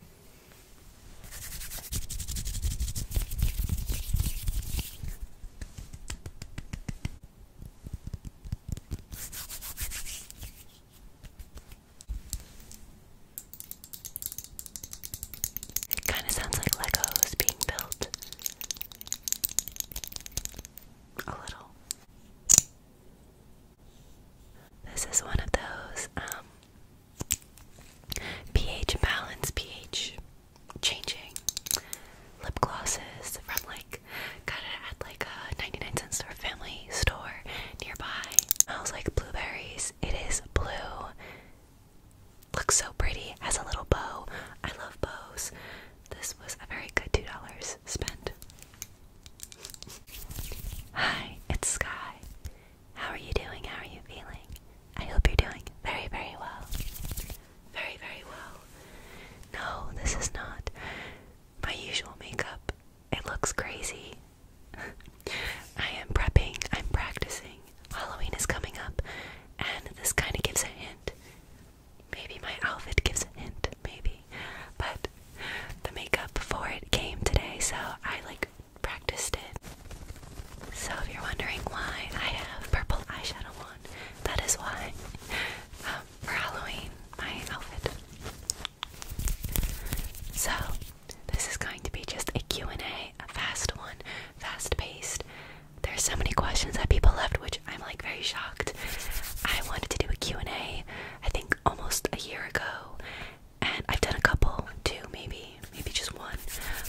It kind of sounds like Legos being built. A little. This is one of those um, pH balance, pH changing lip glosses from like got it at like a 99 cent store family store nearby. Smells like blueberries. It is blue. Looks so pretty. Has a little bow. I love bows. This was a very good two dollars spent. Hi, it's Sky. How are you doing? How are you feeling? I hope you're doing very, very well. Very, very well. No, this is not my usual makeup. It looks crazy. I am prepping, I'm practicing. Halloween is coming up, and this kind of gives a hint. Maybe my outfit gives a hint, maybe. But the makeup for it came today, so I like practiced it. So if you're wondering why I have purple eyeshadow on, that is why. Um, for Halloween, my outfit. So this is going to be just a Q&A, a fast one, fast-paced. are so many questions that people left, which I'm like very shocked. I wanted to do a Q&A, I think almost a year ago, and I've done a couple, two maybe, maybe just one,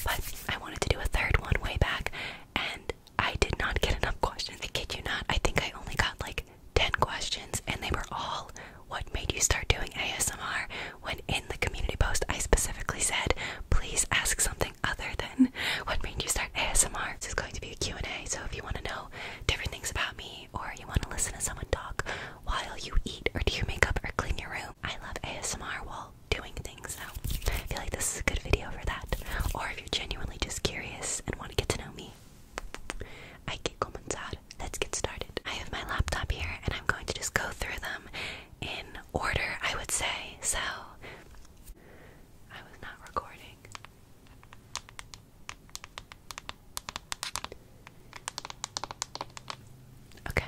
but I wanted to do a third one way back, and I did not get enough questions. I kid you not, I think I only got like 10 questions, and they were all what made you start doing ASMR. When in the community post, I specifically said, please ask something other than what made you start ASMR. This is going to be a Q&A, so if you want to know different things about me, or you want to listen to someone talk, while you eat or do your makeup or clean your room. I love ASMR while doing things, so I feel like this is a good video for that. Or if you're genuinely just curious and want to get to know me, I can comenzar. Let's get started. I have my laptop here and I'm going to just go through them in order, I would say. So, I was not recording. Okay.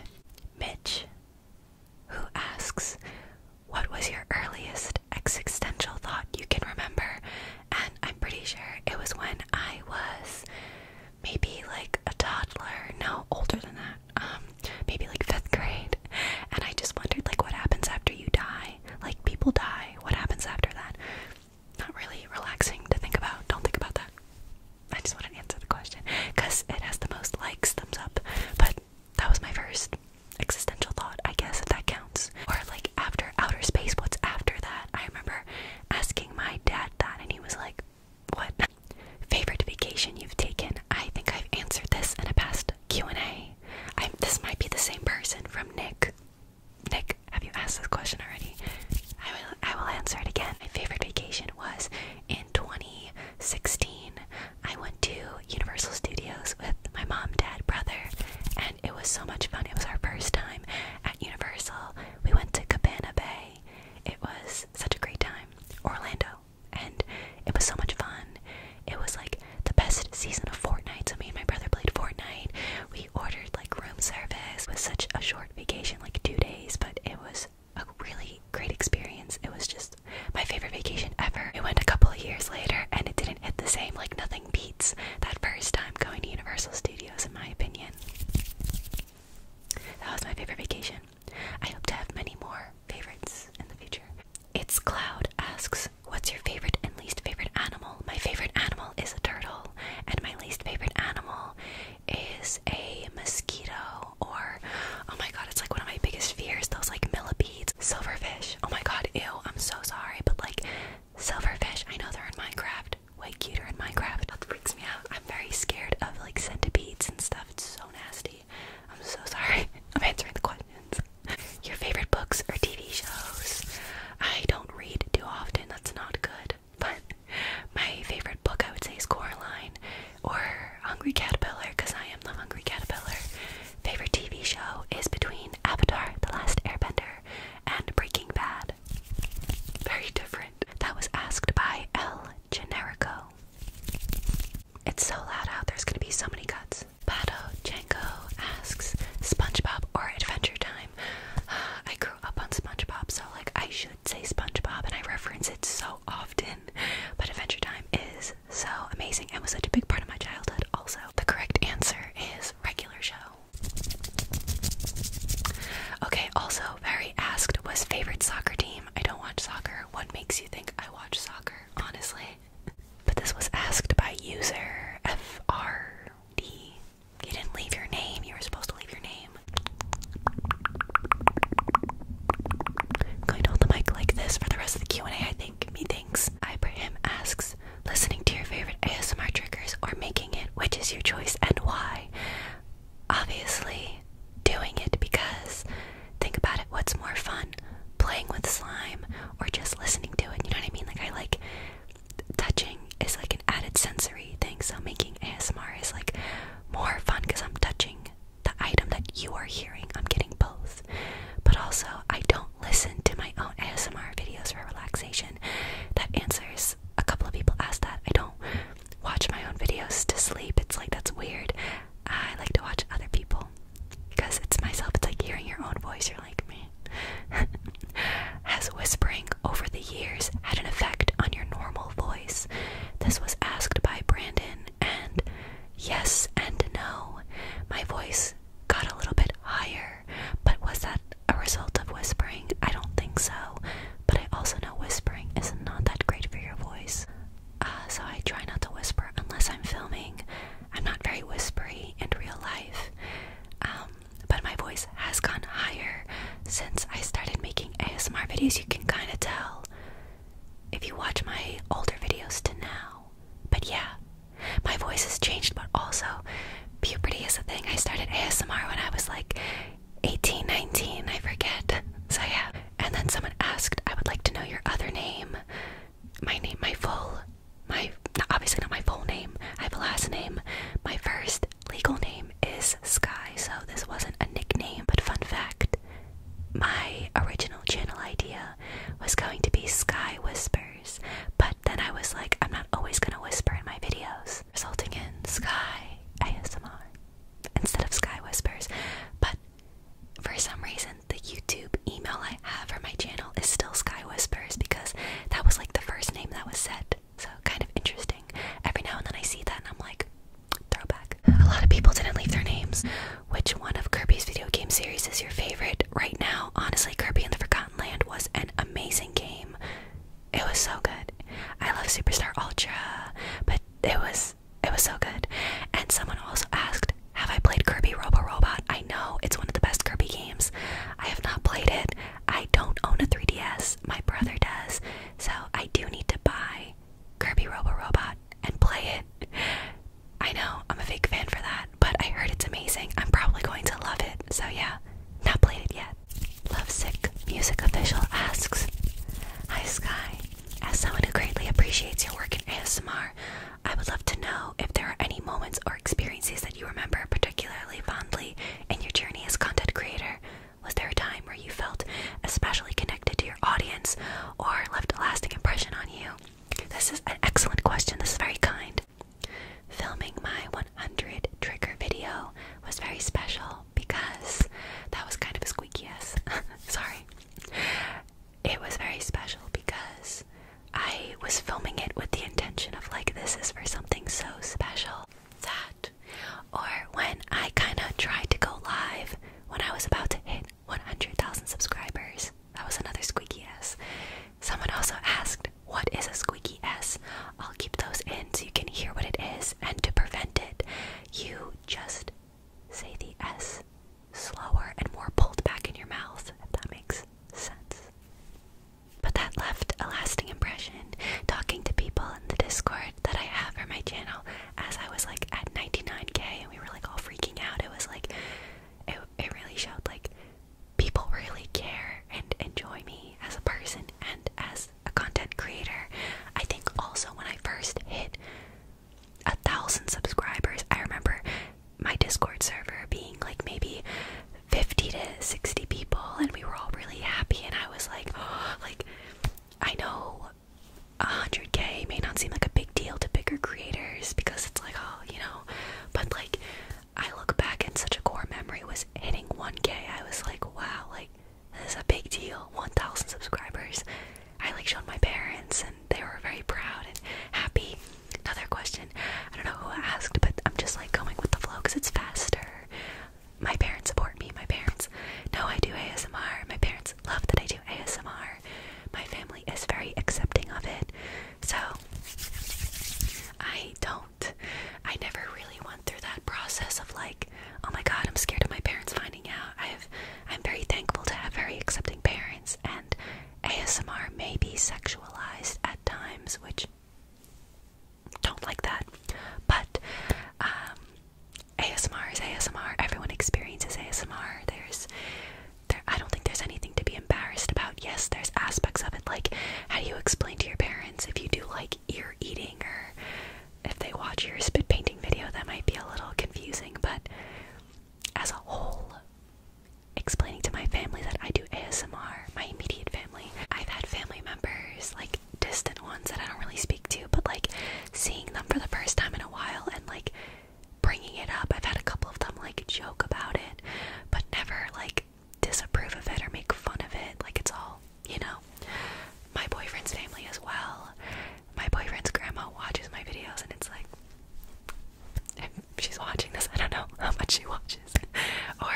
Mitch, who asks, What was your earliest existential thought you can remember? And I'm pretty sure it was when I was maybe like a toddler, no, older than that, um, maybe like fifth grade. And I just wondered, like, what happens after you die? Like, people die. What happens after that? Not really relaxing to think about. Don't think about that. I just want to answer the question because it has the most likes, thumbs up. But that was my first existential thought, I guess, if that counts. Or like after outer space, what's after that? I remember asking my dad that, and he was like, "What favorite vacation you've taken?" I think I've answered this in a past Q and A. this might be the same person from Nick. Nick, have you asked this question already? I will. I will answer it again. My favorite vacation was in 2016, I went to Universal Studios with my mom, dad, brother, and it was so much fun. It was our first time at Universal. We went to Cabana Bay. It was such a great time. Orlando. And it was so much fun. It was like the best season of Fortnite. So me and my brother played Fortnite. We ordered like room service with such a short vacation, like two days, but it was a really great experience. It was just my favorite vacation ever. It went a couple of years later and it didn't hit the same. Like, nothing beats that first time going to Universal Studios, in my opinion. That was my favorite vacation. I hope to have many more favorites in the future. It's Cloud asks, What's your favorite and least favorite animal? My favorite animal is a turtle, and my least favorite animal is a mosquito or oh my god, it's like one of my biggest fears, those like millipedes. Silverfish. Oh my god, ew, I'm so sorry, but like silverfish, I know they're in Minecraft. Way cuter in Minecraft. That freaks me out. I'm very scared of like centipedes and stuff. It's so nasty. I'm so sorry. I'm answering the questions. Your favorite books or TV shows? I don't read too often. That's not good. But my favorite book I would say is Coraline or Hungry Caterpillar because I am the Hungry Caterpillar. Favorite TV show is between Avatar, The Last Airbender, and Breaking Bad. Very different. That was asked by L. Generico. It's so loud out, there's gonna be so many cuts. Pato Jenko asks SpongeBob or Adventure Time. I grew up on SpongeBob, so like I should say SpongeBob, and I reference it so often. But Adventure Time is so amazing and was such a big part of my childhood, also. The correct answer is regular show. Okay, also, very asked was favorite soccer team. I don't watch soccer. What makes you think I watch soccer, honestly? But this was asked by user FRD. You didn't leave your name, you were supposed to leave your name going to hold the mic like this for the rest of the Q&A, I think. Methinks. thinks. Ibrahim asks, listening to your favorite ASMR triggers or making it, which is your choice and why? Obviously, doing it because think about it, what's more fun? Playing with slime or just listening to it? You know what I mean? Like I like touching is like an added sensory thing, so making ASMR is like more fun because I'm touching the item that you are hearing. I'm getting both. But also, I don't listen to my own ASMR videos for relaxation. That answers a couple of people ask that. I don't watch my own videos to sleep. It's like that's weird. I like to watch other people because it's myself. It's like hearing your own voice. You're like, me. Has whispering over the years had an effect on your normal voice? This was asked by Brandon, and yes and no. My voice got a little bit higher, but was that a result of whispering? I don't think so, but I also know whispering is not that great for your voice. Uh, so I try not to whisper unless I'm filming. I'm not very whispery in real life. Um, but my voice has gone higher since I started making ASMR videos. You can kind of tell if you watch my older videos to now. But yeah, my voice has changed, but also puberty is a thing. I started ASMR when I was like 18, 19, I forget. So yeah. And then someone asked, I would like to know your other name. My name, my full, my, obviously not my full name. I have a last name. My first legal name is Sky, so this wasn't a nickname, but fun fact my original channel idea was going to be Sky Whispers, but then I was like, I'm not always going to whisper in my videos, resulting in Sky ASMR instead of Sky Whispers. But for some reason, the YouTube email I have for my channel is still Sky Whispers because that was like the first name that was set. So kind of interesting. Every now and then I see that and I'm like, Throwback. A lot of people didn't leave their names. Which one of Kirby's video game series is your favorite right now? Honestly, Kirby and the Forgotten Land was an amazing game. It was so good. I love Superstar Ultra, but it was it was so good. And someone also asked, have I played Kirby Robo Robot? I know it's one of the best Kirby games. I have not played it. I don't own a 3DS. My brother does. So I do need to buy by Kirby Robot and play it. I know I'm a fake fan for that, but I heard it's amazing. I'm probably going to love it. So yeah, not played it yet. Lovesick Music Official asks Hi Sky, as someone who greatly appreciates your work in ASMR, I would love to know if there are any moments or experiences that you remember particularly fondly in your journey as content creator. Was there a time where you felt especially connected to your audience or left a lasting impression on you? This is an excellent question. This is very kind. Filming my 100 trigger video was very special because that was kind of a squeaky yes. Sorry. It was very special because I was filming it with the intention of like this is for something so special that or when I kind of tried to go live when I was about to hit 100,000 subscribers. That was another squeaky S. Someone also asked, What is a squeaky S? I'll keep those in so you can hear what it is, and to prevent it, you just say the S slower and more pulled back in your mouth, if that makes sense. But that left a lasting impression. Talking to people in the Discord that I have for my channel as I was like at 99k and we were like all freaking out, it was like it, it really showed like people really care and enjoy me as a person and as a content creator. I think also when I first hit a thousand subscribers, I remember my Discord server being like maybe 50 to 60 people, and we were all really happy. And I was like, oh, like, I know while 100k may not seem like a big deal to bigger creators because it's like, oh, you know, but like I look back and such a core memory was hitting 1k. I was like, wow, like this is a big deal. 1000 subscribers. I like showed my parents and they were very proud and happy. Another question. I don't know who asked, but I'm just like going with the flow cuz it's faster. My parents support me. My parents know I do ASMR. My parents love that I do ASMR. My family is very accepting of it. So I don't I never really went through that process of like, oh my god, I'm scared of my parents finding out. i am very thankful to have very accepting parents and ASMR may be sexualized at times, which don't like that. But um, ASMR is ASMR. Everyone experiences ASMR. There's there I don't think there's anything to be embarrassed about. Yes, there's aspects of it like how do you explain to your parents if you do like ear eating or if they watch your spit painting video that might be a little confusing, but as a whole explaining to my family that I do ASMR, my immediate family. I've had family members, like distant ones that I don't really speak to, but like seeing them for the first time in a while and like bringing it up. I've had a couple of them like joke about it, but never like disapprove of it or make fun of it. Like it's all, you know. My boyfriend's family as well. My boyfriend's grandma watches my videos and it's like she's watching this. I don't know how much she watches. or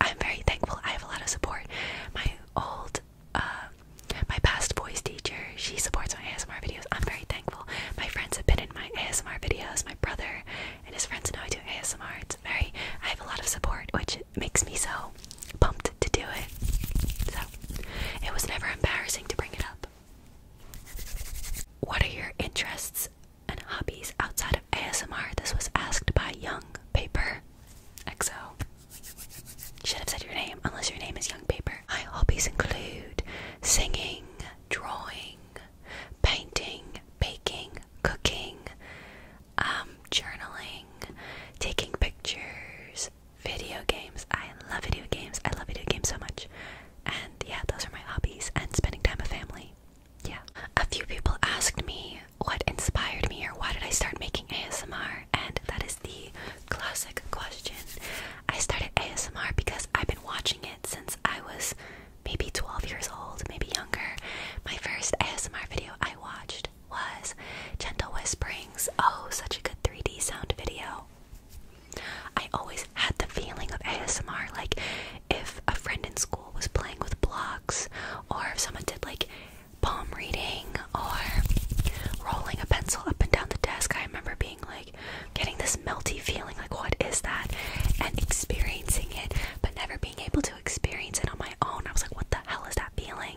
I'm very thankful. I have a lot of support. My old uh, my past voice teacher. She supports my ASMR videos. I'm very thankful. My friends have been in my ASMR videos. My brother and his friends know I do ASMR. It's very. I have a lot of support, which makes me so pumped to do it. So it was never embarrassing to bring it up. What are your interests and hobbies outside of ASMR? This was asked by Young Paper XO. Should have said your name, unless your name is Young Paper. My hobbies include singing, drawing, painting, baking, cooking, um, journaling, taking pictures, video games. I love video games. I love video games so much. And yeah, those are my hobbies. And spending time with family. Yeah. A few people asked me what inspired me or why did I start making ASMR and that is the classic question. I started ASMR because I've been watching it since I was maybe 12 years old, maybe younger. My first ASMR video I watched was Gentle Whisperings. Oh, such a good 3D sound video. I always had the feeling of ASMR, like if a friend in school was playing with blocks, or if someone did like palm reading or rolling a pencil up and down the desk. I remember being like getting this melty feeling like what is that and experiencing it but never being able to experience it on my own i was like what the hell is that feeling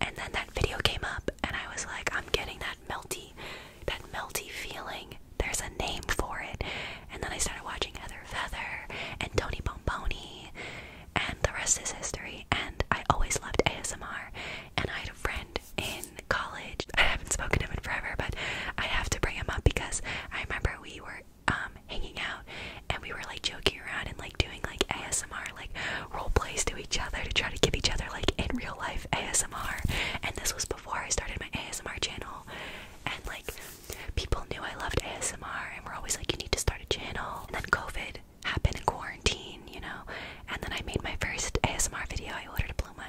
and then that video came up and i was like i'm getting that melty that melty feeling there's a name for it and then i started watching heather feather and tony bomboni and the rest is history and i always loved asmr and i had a friend friend in college. I haven't spoken to him in forever, but I have to bring him up because I remember we were um, hanging out and we were like joking around and like doing like ASMR like role plays to each other to try to give each other like in real life ASMR. And this was before I started my ASMR channel and like people knew I loved ASMR and were always like you need to start a channel. And then COVID happened in quarantine, you know. And then I made my first ASMR video. I ordered a blue bloom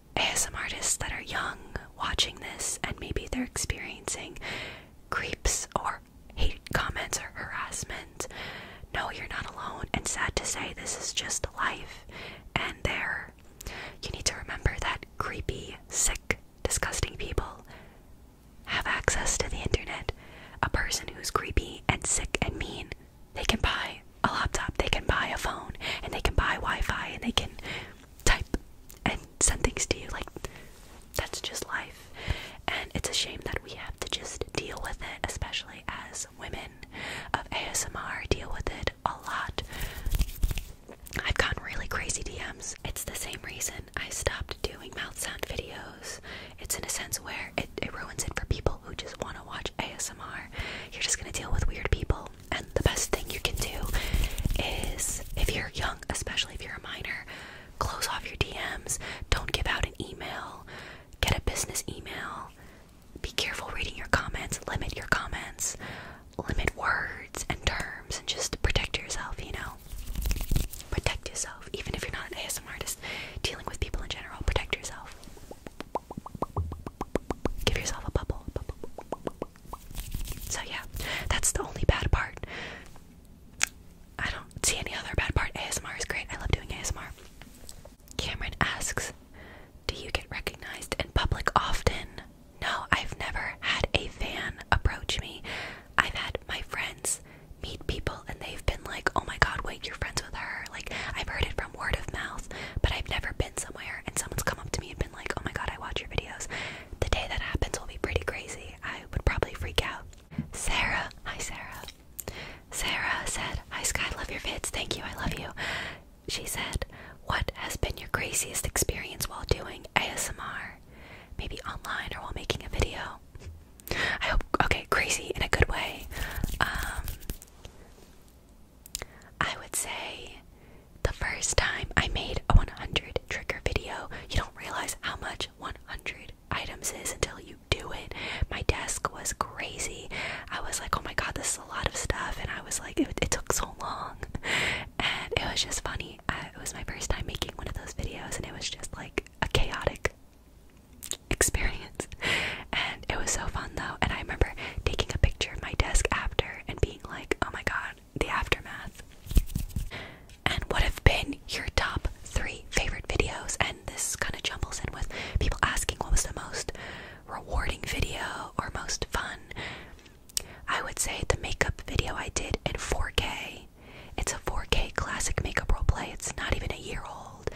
some artists that are young watching this and maybe they're experiencing creeps or hate comments or harassment. No, you're not alone. And sad to say, this is just life. And there, you need to remember that creepy, sick, disgusting people have access to the internet. A person who's creepy and sick and mean, they can buy a laptop, they can buy a phone, and they can buy Wi Fi, and they can type and send things to you. Like, that's just life. And it's a shame that we have to just deal with it, especially as women of ASMR deal with it a lot. I've gotten really crazy DMs. It's the same reason I stopped doing mouth sound videos. It's in a sense where it, it ruins it for people who just want to watch ASMR. You're just going to deal with weird people and the best thing you can do is if you're young, especially if you're a minor, close off your DMs. Don't give out an email. Get a business email. Be careful reading your comments. Limit your comments. Limit words and terms and just protect yourself, you know? Protect yourself. Even if you're not an ASMR artist, dealing with people in general, protect yourself. Give yourself a bubble. So yeah, that's the only bad part. I don't see any other bad part. ASMR is great. I love doing ASMR. Cameron asks, "Do you get recognized in public often?" No, I've never had a fan approach me. I've had my friends meet people and they've been like, "Oh my god, wait, you're friends with her." Like, I've heard it from word of mouth, but I've never been somewhere and someone's come up to me and been like, "Oh my god, I watch your videos." the day that happens will be pretty crazy. I would probably freak out. Sarah, hi Sarah. Sarah said, Hi Sky, love your vids. Thank you, I love you. She said, What has been your craziest experience while doing ASMR? Maybe online or while making a video? I hope, okay, crazy in a good way. Um, I would say the first time I made a 100 trigger video, you don't realize how much 100 items is until you do it. My desk was crazy. I was like, oh my god, this is a lot of stuff. And I was like, it, took so long. And it was just funny. it was my first time making one of those videos, and it was just like a chaotic experience. And it was so fun though. And I remember taking a picture of my desk after and being like, oh my god, the aftermath. And what have been your top three favorite videos? And this kind of jumbles in with people asking what was the most rewarding video or most fun. I would say the makeup video I did in 4K. It's a 4K classic makeup role play. It's not even a year old.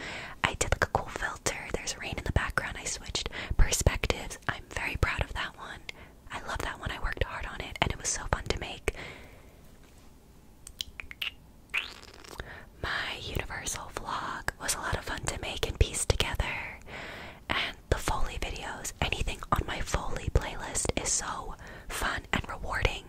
I did like a cool filter. There's rain in the background. I switched perspectives. I'm very proud of that one. I love that one. I worked hard on it and it was so fun to make. My Universal vlog was a lot of fun to make and piece together. And the Foley videos, anything on my Foley playlist is so fun and rewarding.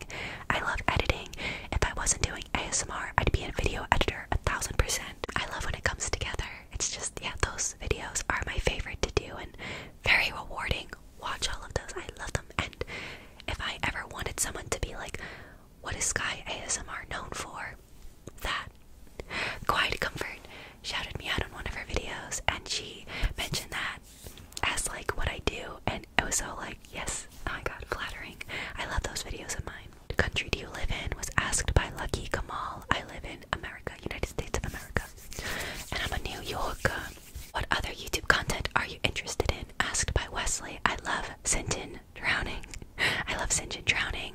I love editing. If I wasn't doing ASMR, I'd be a video editor a thousand percent. I love when it comes together. It's just, yeah, those videos are my favorite to do, and very rewarding. Watch all of those. I love them. And if I ever wanted someone to be like, what is Sky ASMR known for? That. Quiet Comfort shouted me out on one of her videos and she mentioned that as like what I do and it was so like, yes, oh my god, flattering. I love those videos of mine. The country do you live in was asked by Lucky Kamal. I live in America, United States of America and I'm a New Yorker. What other YouTube content are you interested in? Asked by Wesley. I love Sinjin drowning. I love Sinjin drowning.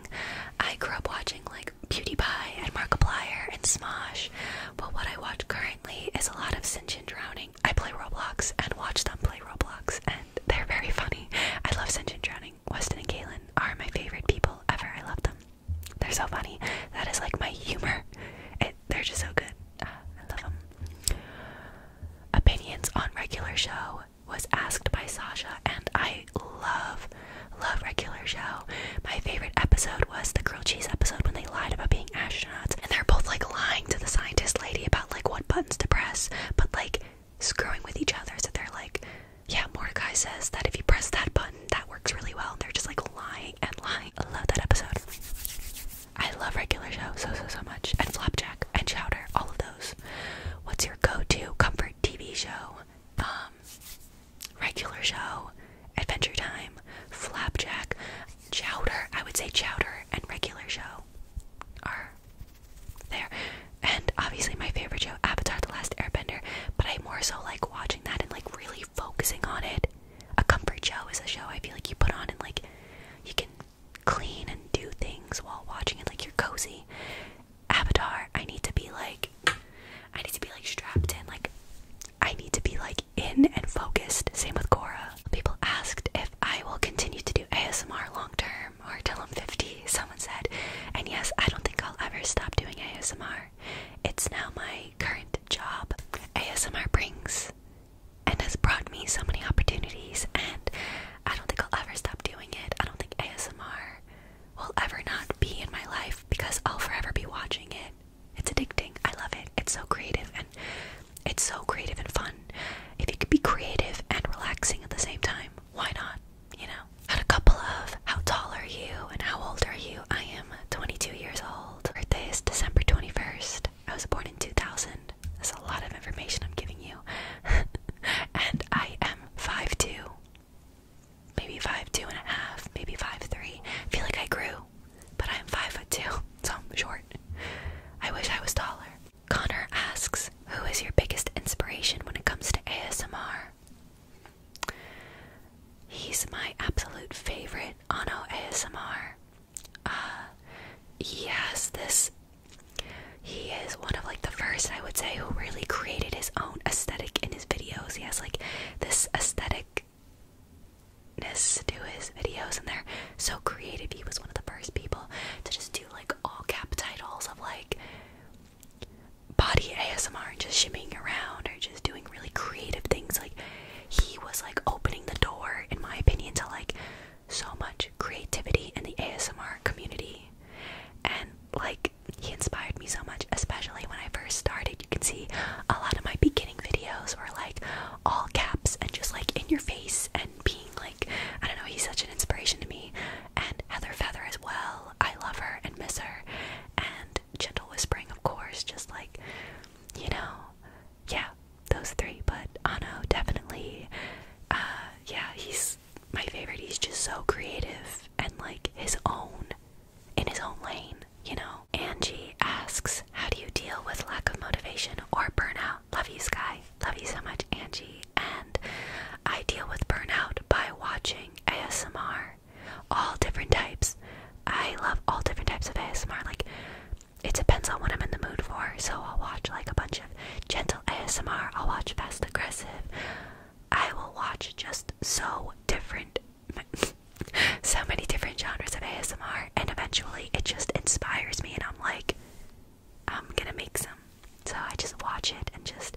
I grew up watching like PewDiePie and Markiplier and Smosh, but what I watch currently is a lot of Sinjin drowning. I play Roblox and watch them play Roblox, and they're very funny. I love Sinjin drowning. Weston and Galen are my favorite people ever. I love them. They're so funny. That is like my humor. they're just so good. Ah, I love them. Opinions on regular show was asked by Sasha, and I love, love regular show. My favorite episode was the grilled cheese episode when they lied about being astronauts, and they're both like lying to the scientist lady about like what buttons to press, but like screwing with each other. So they're like, yeah, Mordecai says that if you press that button, that works really well. And they're just like lying lying and lying. Love that episode. I love regular show so so so much. And Flapjack and Chowder, all of those. What's your go-to comfort TV show? Um regular show, Adventure Time, Flapjack, Chowder. I would say Chowder and regular show are there. And obviously my favorite show, Avatar The Last Airbender, but I more so like watching that and like really focusing on it. A comfort show is a show I feel like you put on and like you can clean and do things while watching it, like you're cozy. Avatar, I need to be like, I need to be like strapped in, like I need to be like in and focused. Same with Cora. People asked if I will continue to do ASMR long term or till I'm 50. Someone said, and yes, I don't think I'll ever stop doing ASMR. It's now my current job. ASMR brings and has brought me so many opportunities, and I don't think I'll ever stop doing it. I don't think ASMR will ever not be in my life because I'll forever be watching it. It's addicting. I love it. It's so creative and it's so creative and fun. If you could be creative and relaxing at the same time, why not? You know, had a couple of how tall are you and how old are you I am 22 years old. Birthday is December 21st. I was born in 2000. That's a lot of information I'm giving you. and I am five two. Maybe five two and a half. a half, maybe 5'3. I feel like I grew, but I'm five foot two. So short. I wish I was taller. Connor asks, Who is your biggest inspiration when it comes to ASMR? He's my absolute favorite Ano ASMR. Uh, he has this he is one of like the first I would say who really created his own aesthetic in his videos. He has like this aestheticness to his videos and they're so creative. He was one of the first people to just do like all cap titles of like body ASMR and just shimmying around or just doing really creative things like he was like opening the door, in my opinion, to like so much creativity in the ASMR community. And like, he inspired me so much, especially when I first started. You can see a lot of my beginning videos were like all caps and just like in your face and being like, I don't know, he's such an inspiration to me. And Heather Feather as well. I love her and miss her. And gentle whispering, of course, just like, you know, yeah, those three. But Ano, definitely, uh, yeah, he's my favorite. He's just so creative and like his own, in his own lane, you know. Angie asks, How do you deal with lack of motivation or burnout? Love you, Sky. Love you so much, Angie. And I deal with burnout by watching ASMR all different types. I love all different types of ASMR. Like, it depends on what I'm in the mood for. So I'll watch like a bunch of gentle ASMR. I'll watch fast aggressive. I will watch just so different, so many different genres of ASMR, and eventually it just inspires me, and I'm like, I'm gonna make some. So I just watch it and just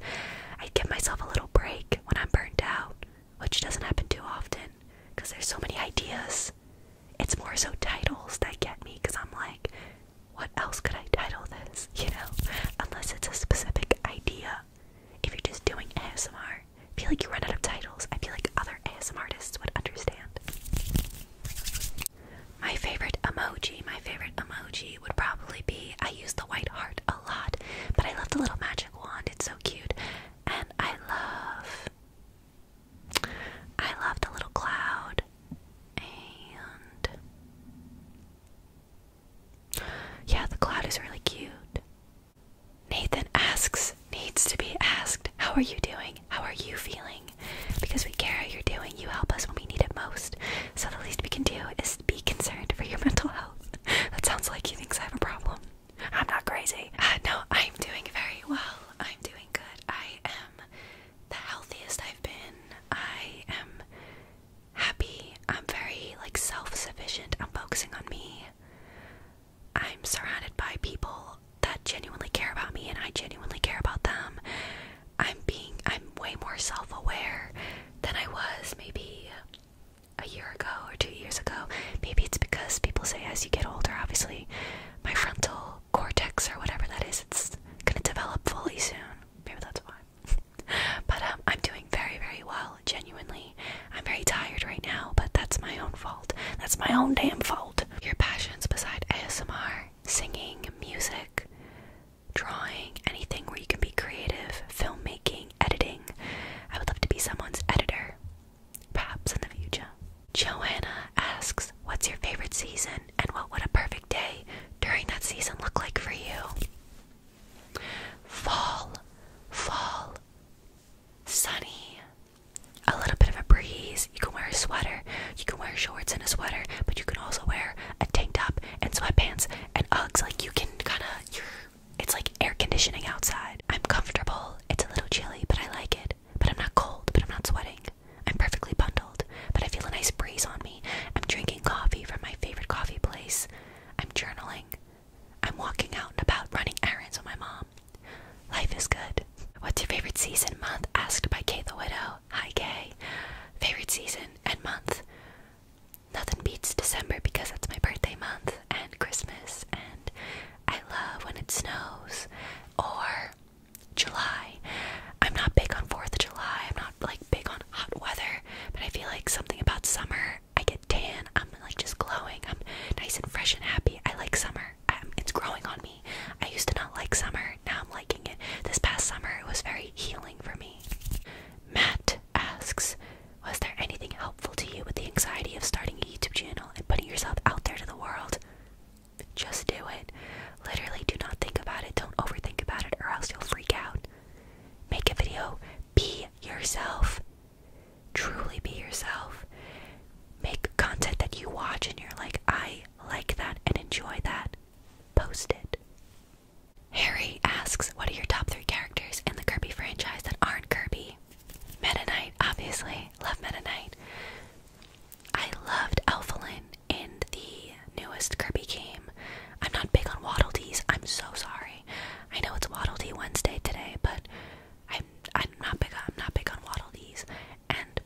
I give myself a little break when I'm burnt out which doesn't happen too often because there's so many ideas. It's more so titles that get me because I'm like, what else could I title this? You know, unless it's a specific idea. If you're just doing ASMR, I feel like you run out of titles. I feel like other ASMR artists would understand. My favorite emoji, my favorite emoji would probably be I use the white heart a lot, but I love the little magic wand. It's so cute. And I love I love the little cloud and yeah, the cloud is really cute. Nathan asks, needs to be asked, how are you doing? How are you feeling? Because we care how you're doing, you help us when we need it most. So the least we can do is be concerned for your mental health. That sounds like he thinks I have a problem. I'm not crazy. Uh, no, I'm doing very well. I'm doing good. I am the healthiest I've been. I am happy. I'm very like self-sufficient. I'm focusing on me. I'm surrounded by people that genuinely care about me and I genuinely care about them. I'm being I'm way more self-aware than I was maybe a year ago or two years ago. Maybe it's because people say as you get older, obviously, my frontal cortex or whatever that is, it's gonna develop fully soon. Maybe that's why. but um, I'm doing very, very well, genuinely. I'm very tired right now, but that's my own fault. That's my own damn fault. Your passions beside ASMR, singing, music, drawing, anything where you can be creative, filmmaking, editing. I would love to be someone's editor. Perhaps in the future. Joanna asks, What's your favorite season and what would a perfect day during that season look like for you? Fall, fall, sunny, a little bit of a breeze. You can wear a sweater, you can wear shorts and a sweater, but you can also wear a tank top and sweatpants and Uggs. Like you can kind of, it's like air conditioning outside. I'm comfortable. It's a little chilly, but I like it. But I'm not cold, but I'm not sweating. I'm perfectly bundled, but I feel a nice breeze on me. I'm drinking coffee from my favorite coffee place. I'm journaling. I'm walking out and about running errands with my mom. Life is good. What's your favorite season month? Asked by Kay the Widow. Hi, Kay. Favorite season and month? Nothing beats December because that's my birthday month and Christmas and I love when it snows. Or July. I'm not big on 4th of July. I'm not like big on hot weather, but I feel like something about summer. I get tan. I'm like just glowing. I'm nice and fresh and happy. I like summer. it's growing on me. I used to not like summer. Now I'm liking it. This past summer, it was very healing for me. Matt asks, was there anything helpful to you with the anxiety of starting a YouTube channel and putting yourself out there to the world, just do it. Literally, do not think about it. Don't overthink about it, or else you'll freak out. Make a video. Be yourself. Truly be yourself. Make content that you watch and you're like, I like that and enjoy that. Post it. Harry asks, What are your top three characters in the Kirby franchise that aren't Kirby? Knight. Meta Knight, obviously. Love Meta Knight. I loved Alphalin in the newest Kirby game. I'm not big on Waddle I'm so sorry. I know it's Waddle Wednesday today, but I'm I'm not big. I'm not big on Waddle and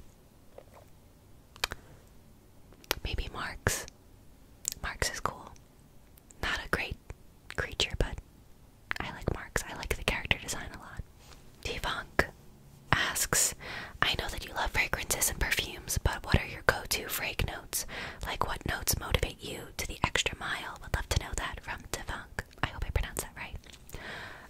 maybe Marks. Marks is cool. Not a great creature, but I like Marks. I like the character design a lot. Devonk asks, I know that you love fragrances and perfumes, but what are your go-to frag notes? Like what notes motivate you to the extra mile? Would love to know that from Devonk. I hope I pronounced that right.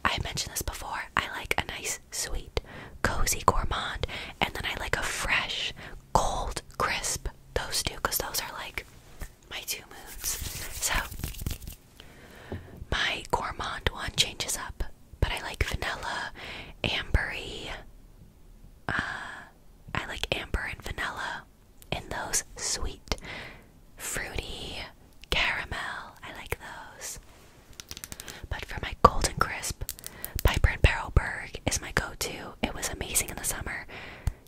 I mentioned this before. I like a nice, sweet, cozy gourmand, and then I like a fresh, cold, crisp. Those two, because those are like my two moods. So my gourmand one changes up, but I like vanilla, ambery. Uh, I like amber and vanilla and those sweet, fruity, caramel. I like those. But for my golden crisp, Piper and Barrelberg is my go-to. It was amazing in the summer.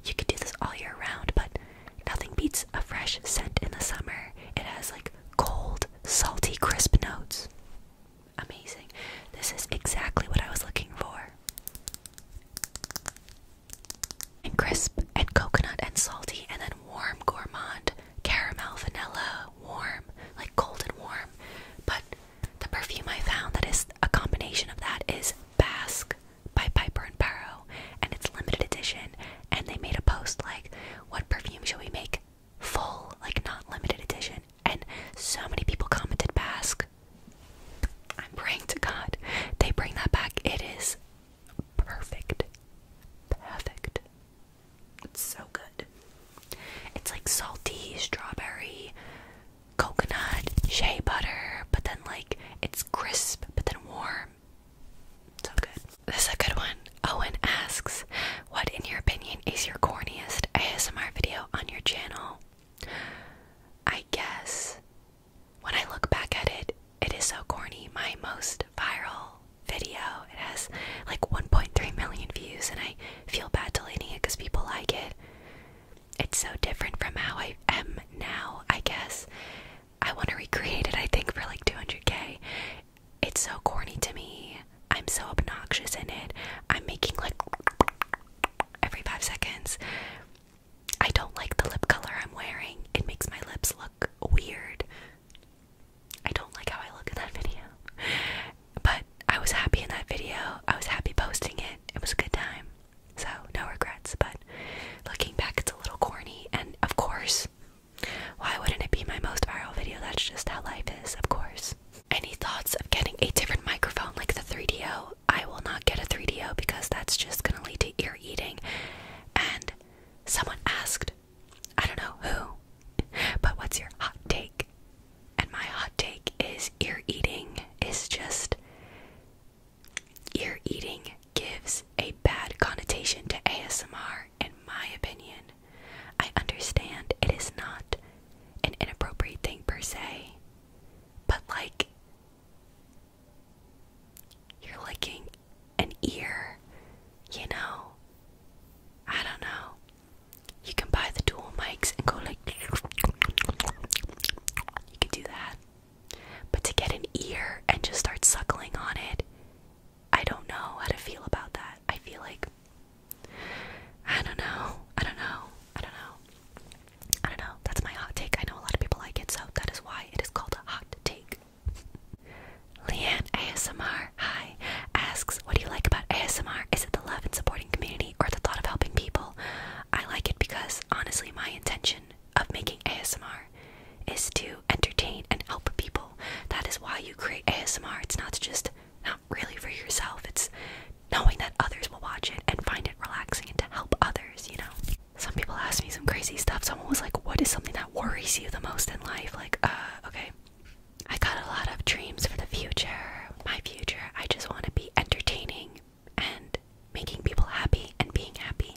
You could do this all year round, but Nothing beats a fresh scent in the summer. It has like cold, salty, crisp notes. Amazing. This is exactly what I was looking for. And crisp and coconut and salty and then warm gourmand caramel vanilla warm like cold and warm but the perfume I found that is a combination of that is Basque by Piper and Paro and it's limited edition and they made a post like what perfume should we make full like not limited edition and so many people commented basque i'm praying to god they bring that back it is perfect perfect it's so good it's like salty strawberry coconut shea butter but then like it's crisp but then warm so This is a good one. Owen asks, What, in your opinion, is your corniest ASMR video on your channel? I guess when I look back at it, it is so corny. My most viral video, it has like 1.3 million views, and I feel bad deleting it because people like it. It's so different from how I am now, I guess. I want to recreate it, I think, for like 200k. It's so corny to me. I'm so obnoxious in it. I'm making like every five seconds. I don't like the lip color I'm wearing, it makes my lips look weird. I don't like how I look in that video. But I was happy in that video, I was happy posting it. It was a good time. So, no regrets, but looking back, it's a little corny, and of course, why wouldn't it be my most viral video? That's just how life is, of course. Any thoughts of getting a different microphone like the 3DO? I will not get a 3DO because that's just gonna lead to ear eating. And someone asked, I don't know who, but what's your hot take? And my hot take is ear eating is just ear eating gives a bad connotation to ASMR in my opinion. I understand it is not an inappropriate thing per se, but like, you're licking an ear, you know? I don't know. You can buy the dual mics and go like, you can do that. But to get an ear and just start suckling on it I don't know how to feel about that. I feel like I don't know. I don't know. I don't know. I don't know. That's my hot take. I know a lot of people like it, so that is why it is called a hot take. Leanne ASMR, hi, asks, What do you like about ASMR? Is it the love and supporting community or the thought of helping people? I like it because honestly, my intention of making ASMR is to entertain and help people. That is why you create ASMR. It's not just not really for yourself. It's knowing that others will watch it and find it relaxing and to help others, you know. Some people ask me some crazy stuff. Someone was like, "What is something that worries you the most in life?" Like, uh, okay. I got a lot of dreams for the future. My future, I just want to be entertaining and making people happy and being happy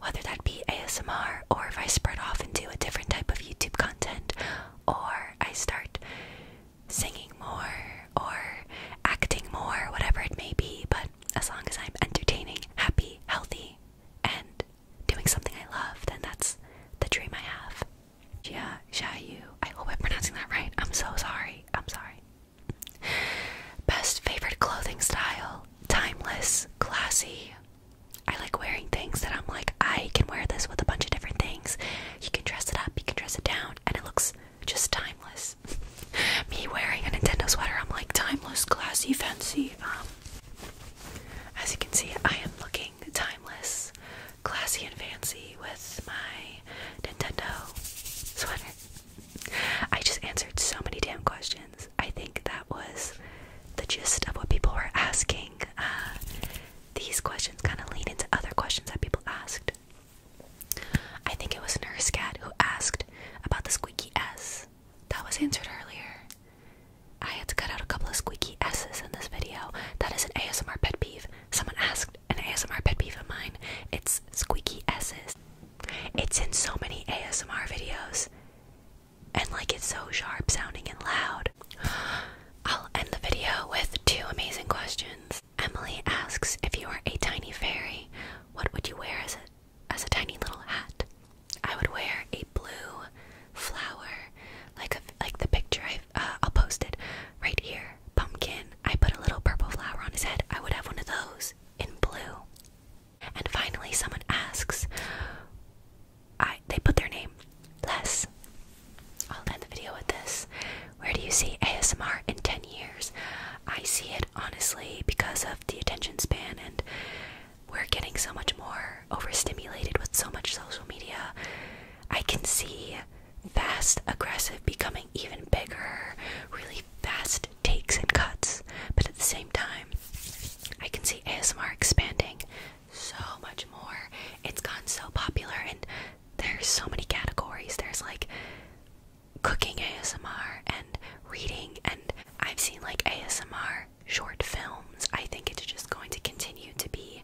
whether that be ASMR or if I spread off and do a different type of YouTube content or I start singing more or acting more, whatever it may be. But as long as I'm entertaining, happy, healthy, and doing something I love, then that's the dream I have. Jia Xiaoyu, I hope I'm pronouncing that right. I'm so sorry. I'm sorry. Best favorite clothing style, timeless, classy, I like wearing things that I'm like, I can wear this with a bunch of different things. You can dress it up, you can dress it down, and it looks just timeless. Me wearing a Nintendo sweater, I'm like, timeless, classy, fancy. Um, as you can see, I am looking timeless, classy, and fancy with my Nintendo sweater. I just answered so many damn questions. I think that was the gist of what people were asking. Uh, these questions kind of lean into other questions that people asked. I think it was Nurse Cat who asked about the squeaky S. That was answered earlier. I had to cut out a couple of squeaky S's in this video. That is an ASMR pet peeve. Someone asked an ASMR pet peeve of mine. It's squeaky S's. It's in so many ASMR videos and like it's so sharp sounding and loud. I'll end the video with two amazing questions. Emily asks if you were a tiny fairy, what would you wear as a as a tiny little hat? I would wear a blue flower, like like the picture I uh, I'll post it right here. Pumpkin. I put a little purple flower on his head. I would have one of those in blue. And finally, someone asks, I they put their name. less. I'll end the video with this. Where do you see ASMR in 10 years? I see it honestly because of the attention span and we're getting so much more overstimulated with so much social media. I can see fast aggressive becoming even bigger, really fast takes and cuts, but at the same time, I can see ASMR expanding so much more. It's gone so popular, and there's so many categories. There's like cooking ASMR and reading, and I've seen like ASMR short films. I think it's just going to continue to be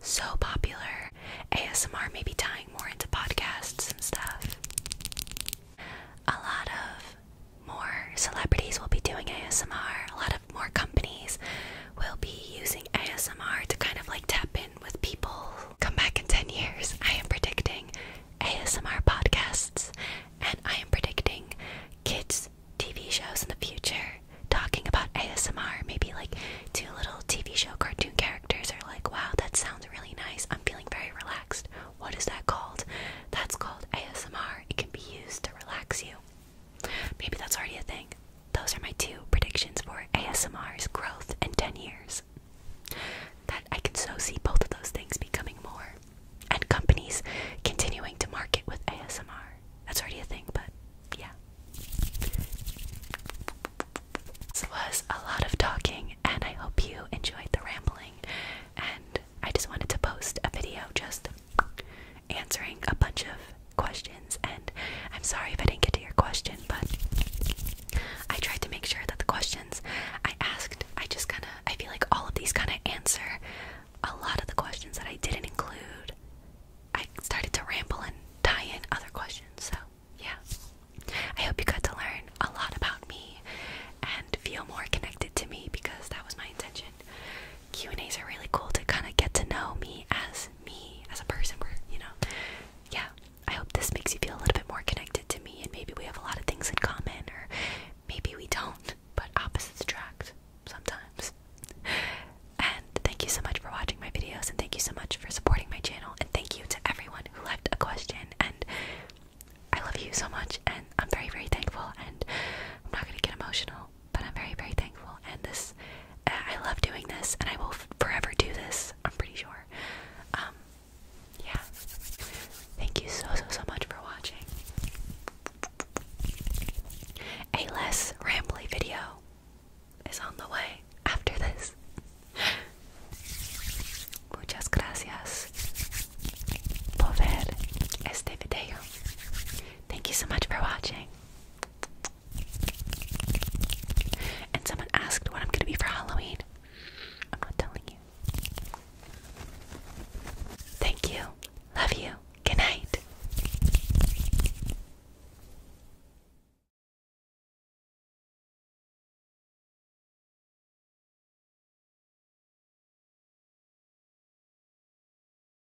so popular. ASMR may be tying more into podcasts and stuff. A lot of more celebrities will be doing ASMR. A lot of more companies will be using ASMR to kind of like tap in with people. Come back in 10 years, I am predicting ASMR podcasts and I am predicting kids' TV shows in the future talking about ASMR. Maybe like two little TV show cartoon characters are like, wow, that sounds really nice. I'm feeling very relaxed. What is that called? That's called ASMR. It can be used to relax you. Maybe that's already a thing. Those are my two predictions for ASMR's growth in 10 years. That I can so see both of those things becoming more, and companies continuing to market with ASMR. That's already a thing, but yeah. This was a lot of talking, and I hope you enjoyed the rambling. And I just wanted to post a video just answering a bunch of questions. And I'm sorry if I didn't get to your question, but I tried to make sure that the questions I asked, I just kind of, I feel like all of these kind of answer a lot of the questions that I didn't include. I started to ramble and tie in other questions. So, yeah. I hope you got to learn a lot about me and feel more connected to me because that was my intention. Q&As are really cool to kind of get to know me as me, as a person, you know. Yeah, I hope this makes you feel a little bit more connected to me and maybe we have a lot of things in common or maybe we don't, but opposites attract sometimes. And thank you so much for watching my videos and thank you so much for supporting my channel and thank you to everyone who left a question and I love you so much and I'm very very thankful and I'm not going to get emotional but I'm very, very thankful. And this, uh, I love doing this, and I will forever do this. I'm pretty sure. Um, yeah. Thank you so, so, so much for watching. A less rambly video is on the way after this. Muchas gracias por ver este video. Thank you so much for watching. And someone asked what I'm gonna be for Halloween. I'm not telling you. Thank you. Love you. Good night.